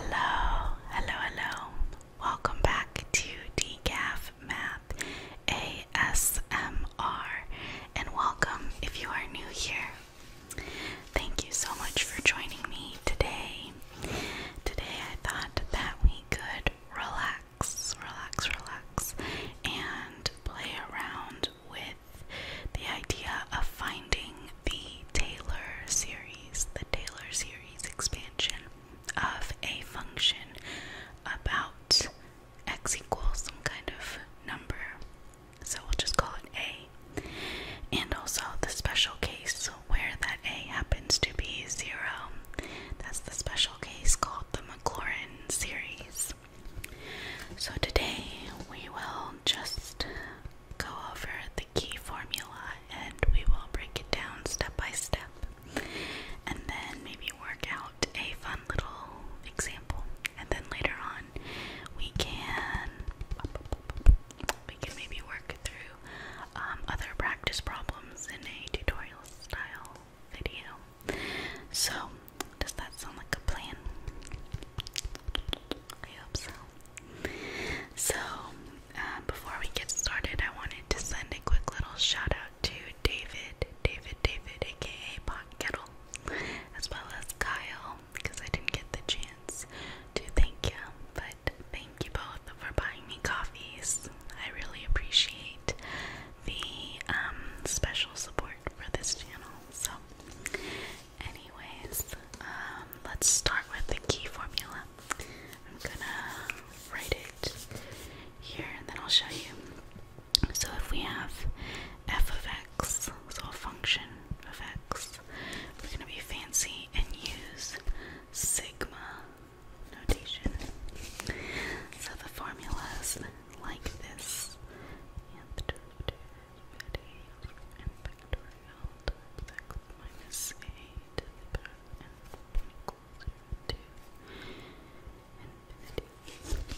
Hello, hello, hello. Welcome back to Decaf Math ASMR and welcome if you are new here. Thank you so much for joining me today. Today I thought that we could relax, relax, relax, and play around with the idea of finding the Taylor series the Taylor series expansion of a function about x equals some kind of number. So we'll just call it a. And also the special case where that a happens to be zero. That's the special case called the Maclaurin series. So today we will just go over the key formula and we will break it down step by step and then maybe work out a fun little example and then later on we can we can maybe work through um, other practice problems in a tutorial style video so does that sound like a plan? I hope so so, uh, before we get started, I wanted to send a quick little shout out to David, David, David, aka Pot Kettle, as well as Kyle, because I didn't get the chance to thank you. But thank you both for buying me coffees. I really appreciate the um, special support for this channel. So, Anyways, um, let's start with the key formula. I'm gonna write it here and then I'll show you. So if we have f of x, so a function of x, we're gonna be fancy and use sigma notation. So the formula is like this.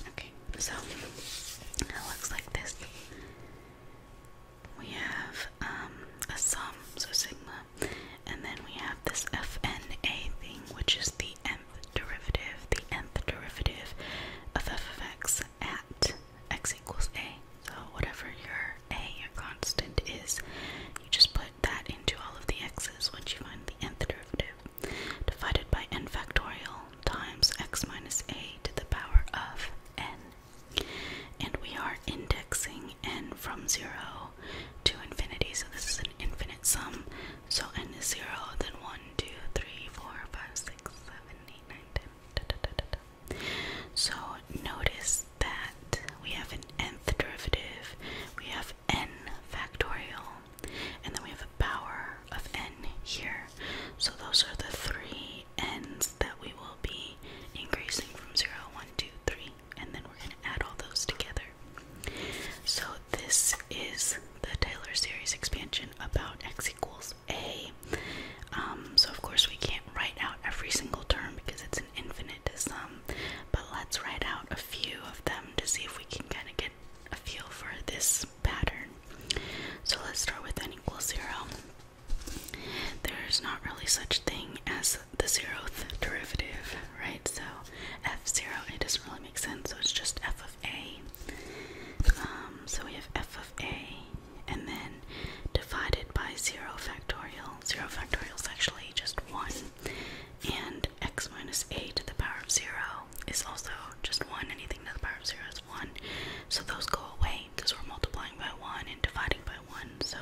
Okay, so it looks like this. We have um, a sum, so sigma, and then we have this f na thing, which is the nth derivative, the nth derivative of f of x at x equals a. So whatever your a, your constant is, you just put that into all of the x's once you find the nth derivative, divided by n factorial times x minus a to the power of n. And we are indexing n from 0 to infinity, so this is an infinite sum. So n is 0, then 1, 2, 3, 4, 5, 6, 7, so notice that we have an nth derivative, we have n factorial, and then we have a power of n here. So those are the three n's that we will be increasing from 0, 1, 2, 3, and then we're going to add all those together. So this is the Taylor series expansion about x equals a. Um, so of course we can't write out every single term because it's an infinite sum, but let's write out a few of them to see if we can kind of get a feel for this pattern. So let's start with n equals zero. There's not really such thing as the zeroth derivative, right? So f zero, it doesn't really make sense. So it's just f a. Um, so we have f of a and then divided by 0 factorial. 0 factorial is actually just 1. And x minus a to the power of 0 is also just 1. Anything to the power of 0 is 1. So those go away because we're multiplying by 1 and dividing by 1. So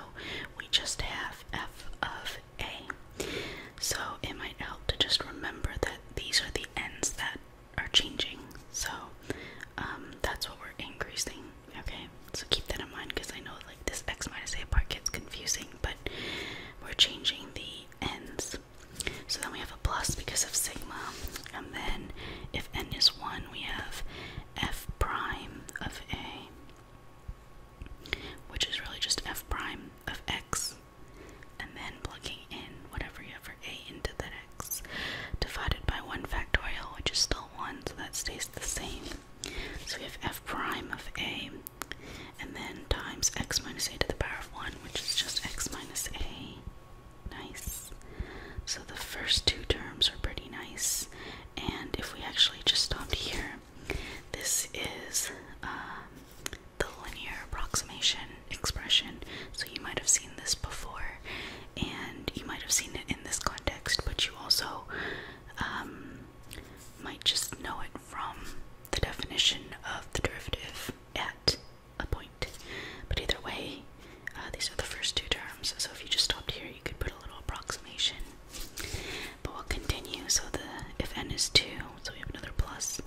we just have f of a. So it might help to just remember that these are the ends that are changing. So um, that's what we're increasing. Okay, so keep that in mind because I know like this x minus a part gets confusing, but we're changing the ends. So then we have a plus because of sigma, and then if n is 1, we have f prime of a, which is really just f prime of x and then plugging in whatever you have a into the x, divided by 1 factorial, which is still 1, so that stays the same. So we have f prime of a, and then times x minus a to the power of 1, which is just x minus a. Nice. So the first two terms are pretty nice, and if we actually just stopped here, this is uh, the linear approximation expression. So you might have seen this before and you might have seen it in this context, but you also um, might just know it from the definition of the derivative at a point. But either way, uh, these are the first two terms. So if you just stopped here, you could put a little approximation. But we'll continue. So the if n is 2, so we have another plus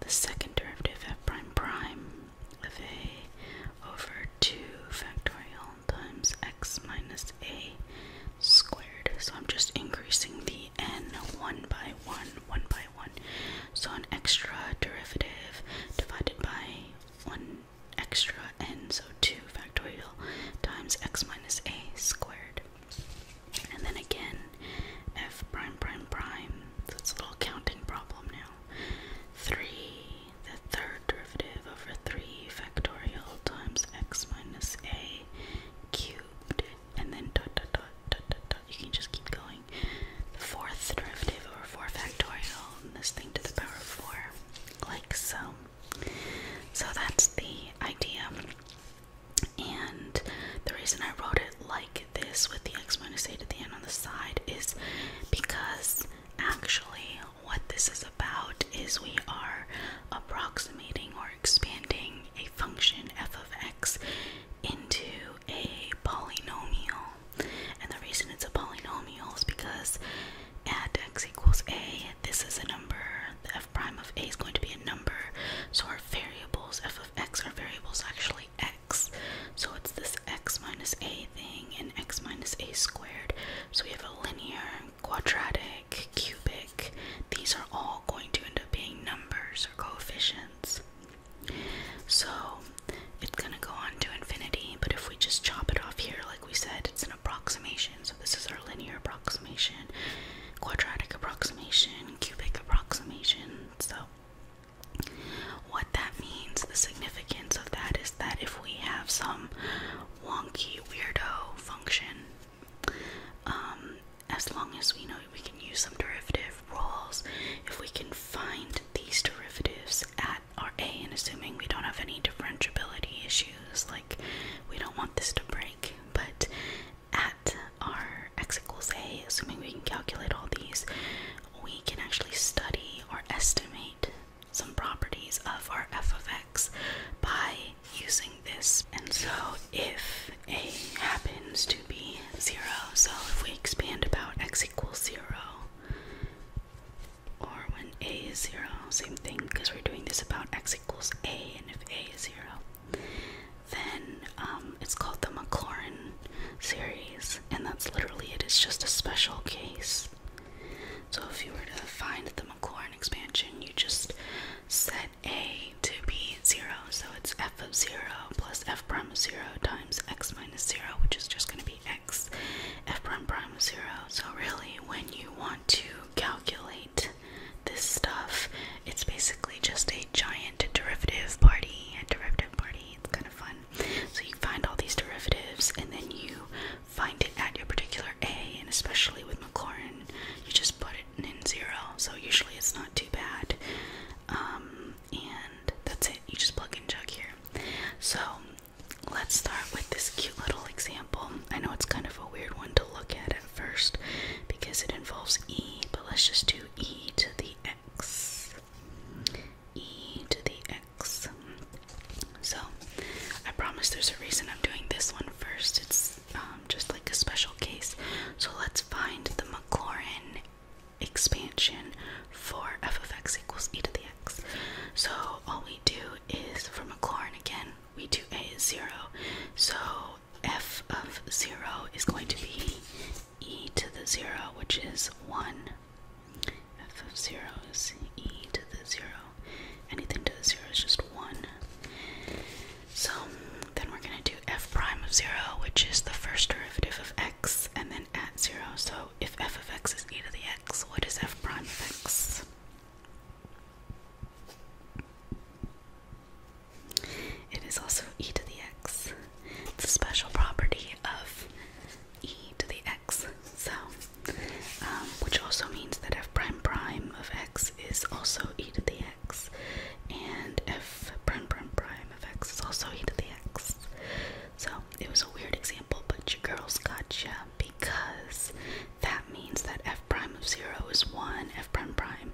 the second derivative f prime prime of a over 2 factorial times x minus a squared. So I'm just increasing the n 1 by 1, 1 by 1. So an extra derivative divided by 1 extra n, so 2 factorial times x minus a squared. And then again, f prime prime prime, so it's a little counting problem now. 3, the third derivative over 3 factorial times x minus a cubed, and then dot dot dot dot dot dot, you can just keep going. The fourth derivative over 4 factorial, and this thing to the power of 4, like so. So that's the idea. And the reason I wrote it like this with the eight at the end on the side is because actually what this is about is we are approximating or expanding a function f of x into a polynomial. And the reason it's a polynomial is because at x equals a, this is a number, the f prime of a is going to be a number, so our variables f of x, our variables actually x, so it's this x minus a thing and x minus a squared, so we have a linear, quadratic, cubic, these are all going to end up being numbers or coefficients. So it's going to go on to infinity, but if we just chop it off here, like we said, it's an approximation. So this is our linear approximation, quadratic approximation, cubic approximation. So what that means, the significance of that is that if we have some wonky weirdo function, um, as long as we know we can use some derivative rules, if we can find these derivatives at our a, and assuming we don't have any differentiability issues, like we don't want this to break, but at our x equals a, assuming we can calculate all these, we can actually study or estimate some properties of our f of x by using this. And so if a happens to be 0, so if we expand about x equals 0, or when a is 0, same thing because we're doing this about x equals a, and if a is 0, then um, it's called the Maclaurin series, and that's literally it, it's just a special case. So if you were to find the Maclaurin expansion, you just set a to be 0, so it's f of 0 plus f prime 0 times x minus 0, which is just going to be x f prime prime 0. So really, when you want to calculate this stuff, it's basically just a giant derivative party, a derivative party, it's kind of fun. So you find all these derivatives and then you find it at your particular A, and especially with Maclaurin, you just put it in zero, so usually it's not too bad. Um, and that's it, you just plug and chug here. So let's start with this cute little example. I know it's kind of a weird one to look at at first because it involves e, but let's just do e to the x. e to the x. So, I promise there's a reason I'm doing this one first. It's um, just like a special case. So, let's find the Maclaurin expansion for f of x equals e to the x. So all we do is for Maclaurin again, we do a is zero. So f of zero is going to be e to the zero, which is one. F of zero is e to the zero. Anything to the zero is just one. So then we're gonna do f prime of zero, which is the first derivative of x, and then at zero. So if f of x is e to the x x? What is f prime of x? It is also e to the x. It's a special property of e to the x. So, um, which also means that f prime prime of x is also e to the x, and f prime prime prime of x is also e to the x. So it was a weird example, but your girls got gotcha because that means that f prime of 0 is 1, f prime prime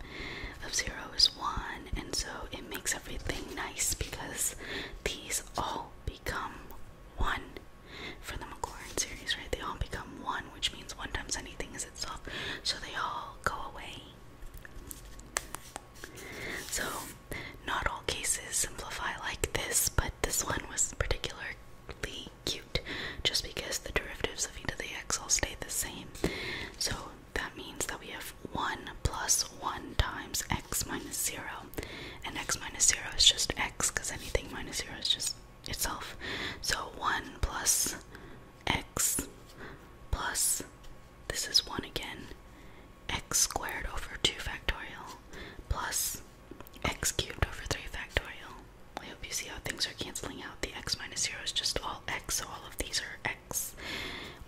of 0 is 1, and so it makes everything nice because these all become 1 for the Maclaurin series, right? They all become 1, which means 1 times anything is itself, so they all go away. So not all cases simplify like this, but this one was particularly cute just because the derivatives of e to the x all stay the same. So that means that we have 1 plus 1 times x minus 0, and x minus 0 is just x because anything minus 0 is just itself. So 1 plus x plus, this is 1 again, x squared over 2 factorial plus x cubed over 3 factorial. I hope you see how things are canceling out. The x minus 0 is just all x, so all of these are x.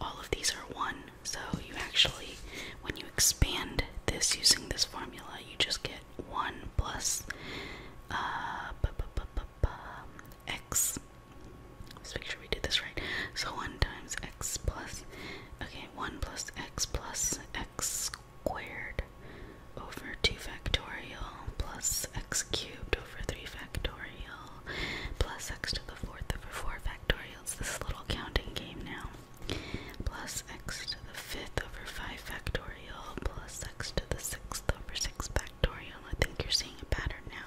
All of these are 1, so you actually, when you expand this using this formula, you just get 1 plus uh, b -b -b -b -b x. Let's make sure we did this right. So 1 times x plus, okay, 1 plus x plus x squared over 2 factorial plus x cubed over 3 factorial plus x to the 4th over 4 factorial. It's this little counting game now. Plus x to the 5th over 5 factorial plus x to the 6th over 6 factorial. I think you're seeing a pattern now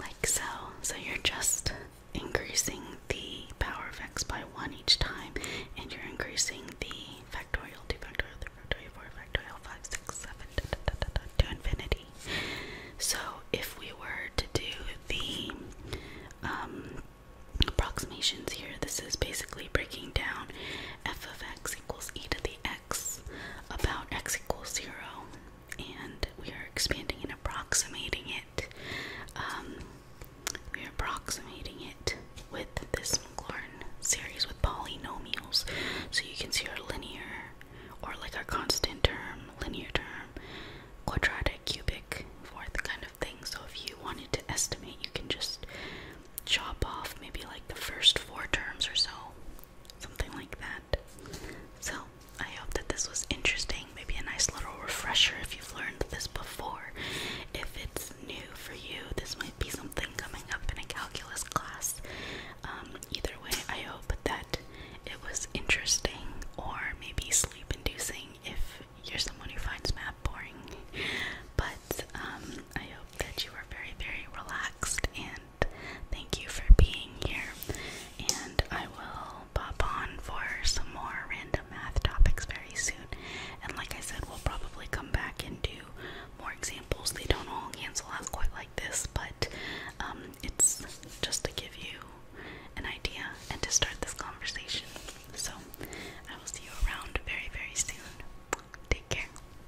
like so. So you're just increasing the power of x by 1 each time, and you're increasing the factorial, 2 factorial, 3 factorial, 4 factorial, 5, 6, 7, da, da, da, da, to infinity. So if we were to do the um, approximations here, this is basically breaking down f of x equals e to the x about x equals 0 and we are expanding and approximating it. Um, we are approximating it with this Maclaurin series with polynomials, so you can see our linear or like our constant term, linear term, quadratic, cubic, fourth kind of thing. So if you wanted to estimate, you can just chop off maybe like the first four terms or so something like that. So, I hope that this was interesting. Maybe a nice little refresher if you've learned this before. If it's new for you, this might be something coming up in a calculus class. Um, either way, I hope that it was interesting or maybe sleep inducing if you're someone who finds math boring. But um, I hope that you are very, very relaxed and thank you for being here. And I will pop on for some more random math topics very soon. And like I said, we'll probably come back and do more examples. They don't all cancel out quite like this, but um, it's just to give you an idea and to start this conversation. So I will see you around very, very soon. Take care.